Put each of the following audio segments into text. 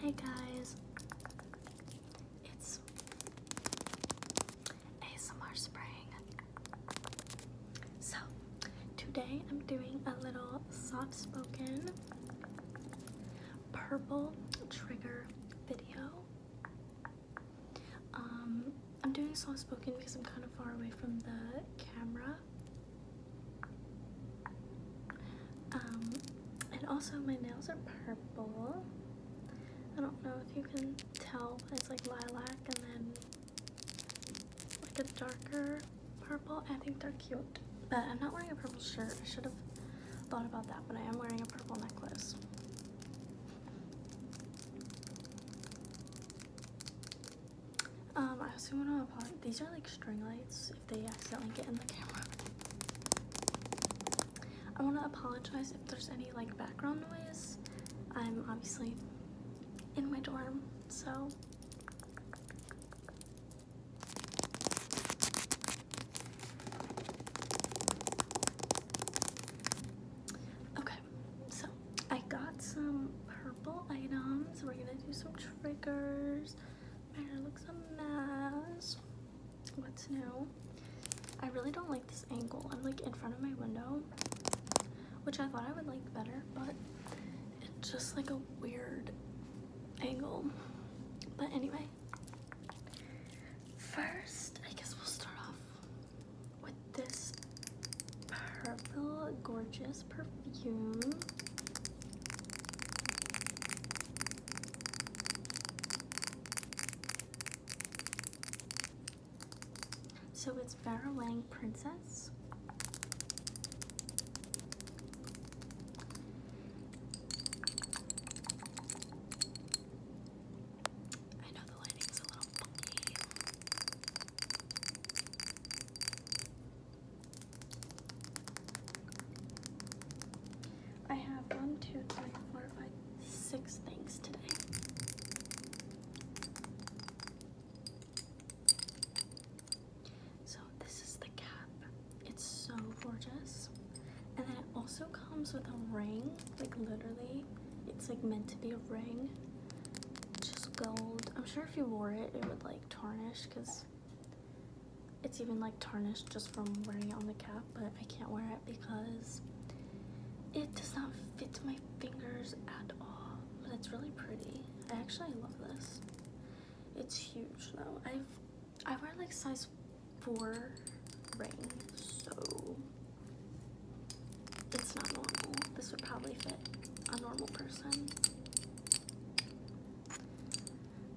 Hey guys, it's ASMR Spring. So, today I'm doing a little soft spoken purple trigger video. Um, I'm doing soft spoken because I'm kind of far away from the camera um, and also my nails are purple. I don't know if you can tell, it's like lilac and then like a darker purple. I think they're cute, but I'm not wearing a purple shirt. I should have thought about that, but I am wearing a purple necklace. Um, I also want to apologize. These are like string lights if they accidentally get in the camera. I want to apologize if there's any like background noise. I'm obviously in my dorm, so. Okay, so I got some purple items. We're gonna do some triggers. My hair looks a mess. What's new? I really don't like this angle. I'm like in front of my window, which I thought I would like better, but it's just like a weird angle. But anyway, first, I guess we'll start off with this purple gorgeous perfume. So it's Vera Wang Princess. I know the lighting's a little funky. I have one, two, three, four, five, six things today. So this is the cap. It's so gorgeous. And then it also comes with a ring. Like literally, it's like meant to be a ring just gold. I'm sure if you wore it, it would like tarnish because it's even like tarnished just from wearing it on the cap, but I can't wear it because it does not fit my fingers at all. But it's really pretty. I actually love this. It's huge though. I've I wear like size four ring, so it's not normal. This would probably fit a normal person.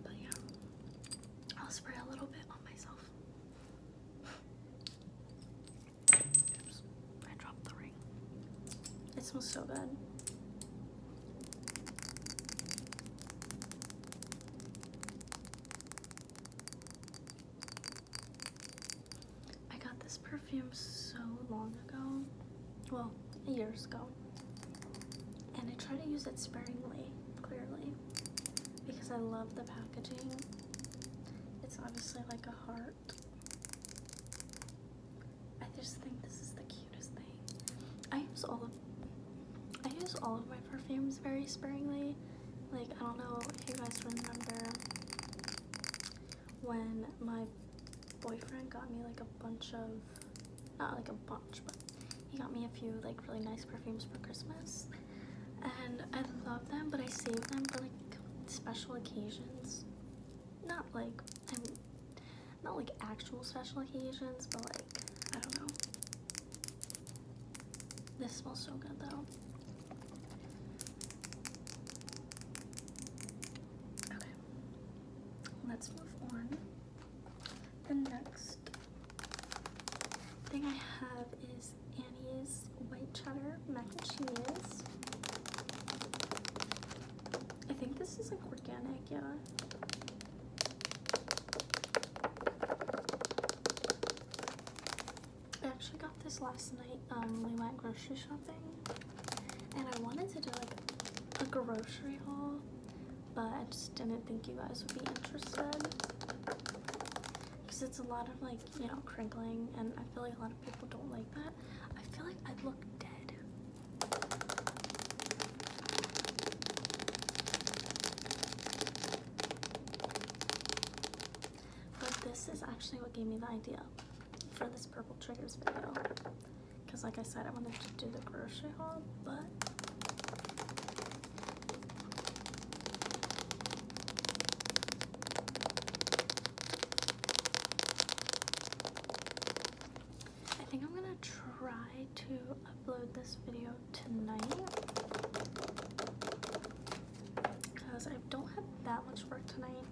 But yeah, I'll spray a little bit on myself. Oops, I dropped the ring. It smells so good. I got this perfume so long ago. Well, years ago. And I try to use it sparingly, clearly, because I love the packaging. It's obviously like a heart. I just think this is the cutest thing. I use all of I use all of my perfumes very sparingly. Like I don't know if you guys remember when my boyfriend got me like a bunch of, not like a bunch, but he got me a few like really nice perfumes for Christmas. And I love them, but I save them for like special occasions. Not like, not like actual special occasions, but like, I don't know. This smells so good though. Okay, let's move on. The next thing I have is Annie's White Cheddar Mac and Cheese. I think this is like organic, yeah. I actually got this last night. Um, we went grocery shopping, and I wanted to do like a grocery haul, but I just didn't think you guys would be interested because it's a lot of like you know crinkling, and I feel like a lot of people don't like that. I feel like I look dead. But this is actually what gave me the idea for this purple triggers video. Because like I said, I wanted to do the grocery haul, but I think I'm gonna try to upload this video tonight because I don't have that much work tonight.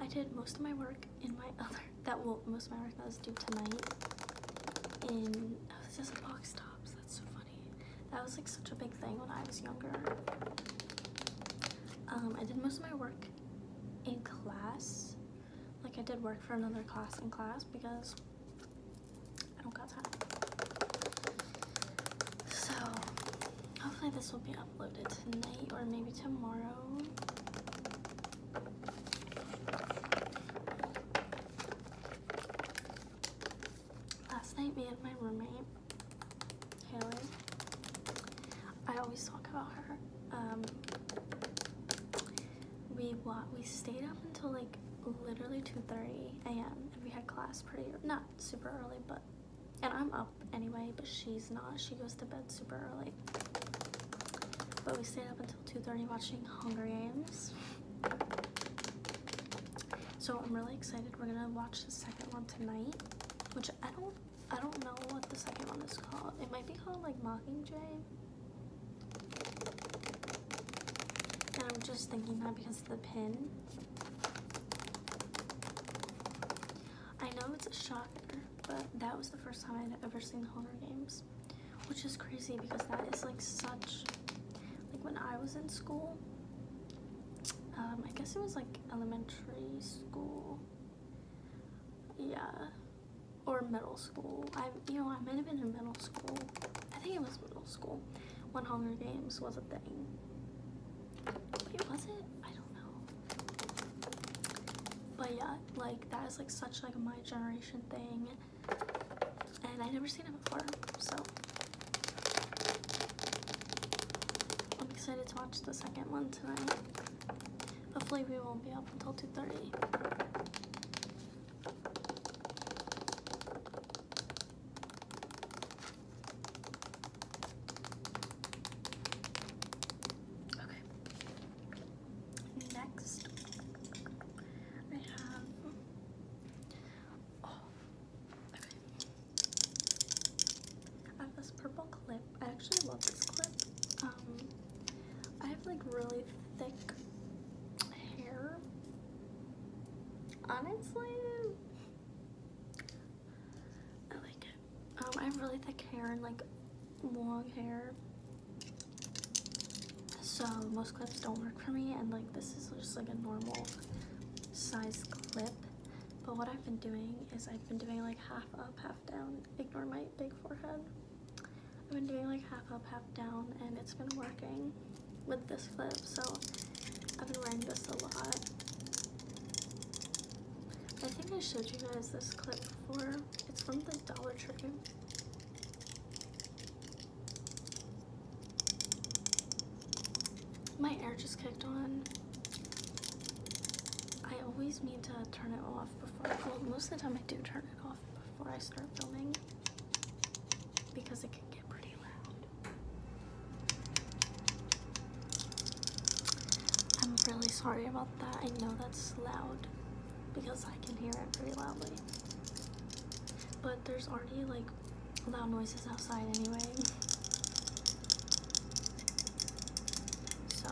I did most of my work in my other that will most of my work that was due tonight in oh this is box tops that's so funny that was like such a big thing when I was younger um, I did most of my work in class like I did work for another class in class because I don't got time so hopefully this will be uploaded tonight or maybe tomorrow. Last night me and my roommate, Haley, I always talk about her. Um, we we stayed up until like literally 2.30 a.m. and we had class pretty, not super early, but and I'm up anyway, but she's not. She goes to bed super early. But we stayed up until 2.30 watching Hunger Games. So I'm really excited. We're gonna watch the second one tonight, which I don't I don't know what the second one is called. It might be called like Mockingjay. And I'm just thinking that because of the pin. I know it's a shocker, but that was the first time I'd ever seen the Hunger Games, which is crazy because that is like such, like when I was in school, um, I guess it was like elementary school, yeah, or middle school. I, you know, I might have been in middle school. I think it was middle school when Hunger Games was a thing. Wait, was it? I don't know. But yeah, like that is like such like my generation thing. And I never seen it before, so I'm excited to watch the second one tonight. Hopefully we won't be up until 2.30. Okay. Next, I have. Oh, I have this purple clip. I actually love this clip. Um, I have like really thick hair, Honestly, I like it. Um, I have really thick hair and like long hair. So most clips don't work for me and like this is just like a normal size clip. But what I've been doing is I've been doing like half up, half down. Ignore my big forehead. I've been doing like half up, half down and it's been working with this clip, so I've been wearing this a lot. I think I showed you guys this clip before. It's from the Dollar Tree. My air just kicked on. I always need to turn it off before, well most of the time I do turn it off before I start filming because it can get pretty loud. I'm really sorry about that. I know that's loud because I can hear it pretty loudly. But there's already like loud noises outside anyway. So,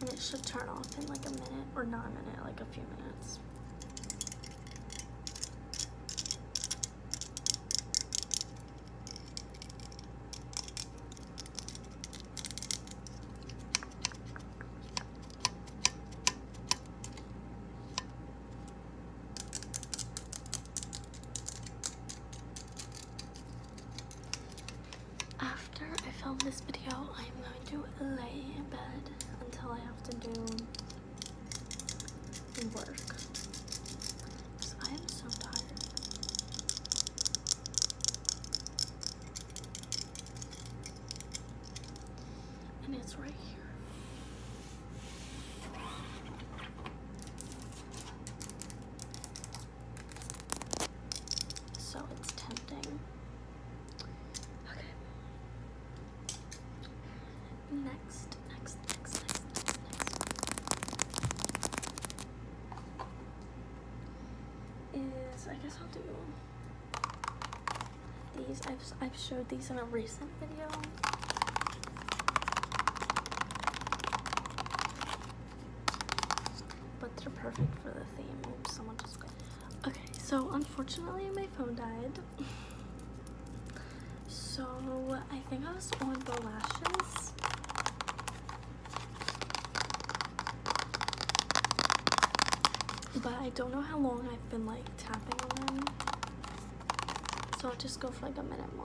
and it should turn off in like a minute or not a minute, like a few minutes. After I film this video, I'm I am going to lay in bed until I have to do work. I am so tired. And it's right here. So it's tempting Okay. Next, next, next, next, next, Is I guess I'll do these. I've I've showed these in a recent video. But they're perfect for the theme. someone just Okay, so unfortunately my phone died. so I think I was on the lashes. But I don't know how long I've been like tapping on them. So I'll just go for like a minute more.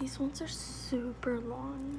These ones are super long.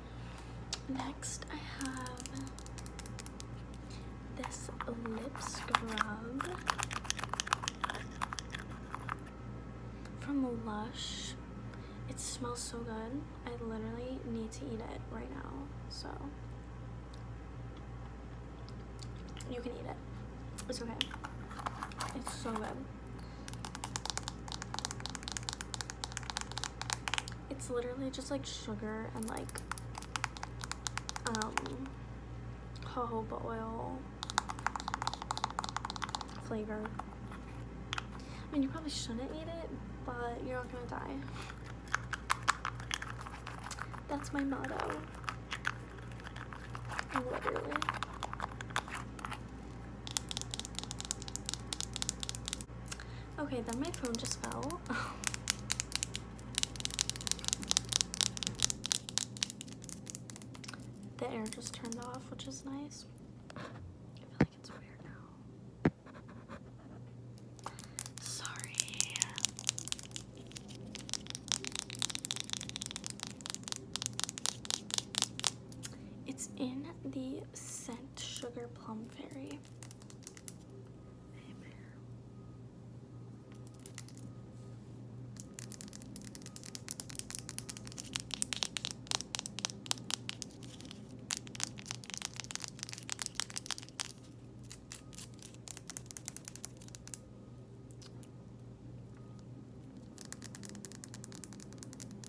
Next, I have this lip scrub from Lush. It smells so good. I literally need to eat it right now. So you can eat it. It's okay. It's so good. It's literally just like sugar and like um jojoba oil flavor. I mean, you probably shouldn't eat it, but you're not gonna die. That's my motto. Literally. Okay, then my phone just fell. the air just turned off, which is nice. I feel like it's weird now. Sorry. It's in the scent sugar plum fairy.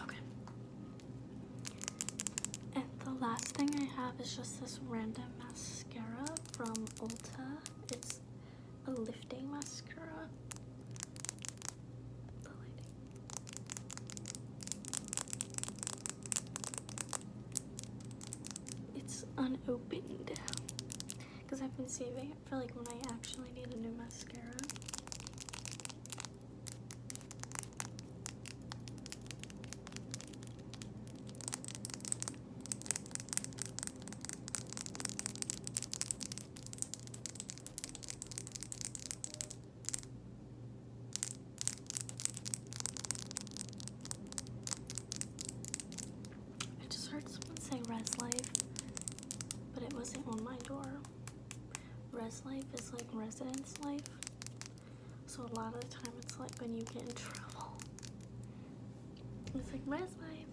Okay. And the last thing I have is just this random mascara from Ulta. It's a lifting mascara. The lighting. It's unopened because I've been saving right? For like when I actually need a new mascara. I just heard someone say res life, but it wasn't on my door. Res life is like residence life. So a lot of the time it's like when you get in trouble. It's like res life.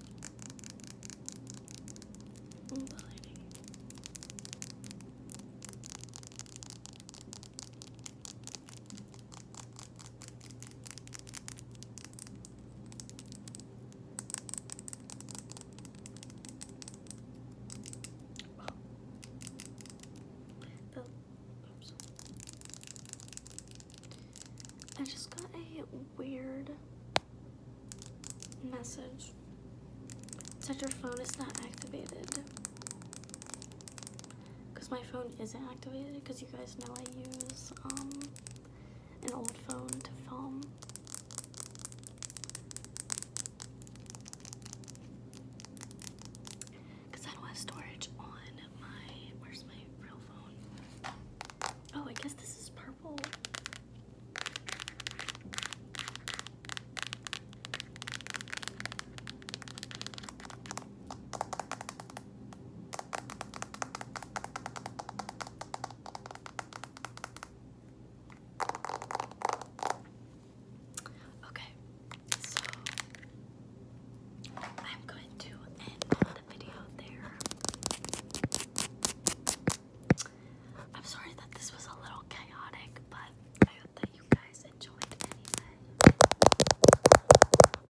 Oh, I just got a weird message that your phone is not activated. Because my phone isn't activated because you guys know I use, um, an old phone to film. Because I don't have storage on my. Where's my real phone? Oh, I guess this is purple. Okay, so I'm going to end the video there. I'm sorry that this was a little chaotic, but I hope that you guys enjoyed anyway.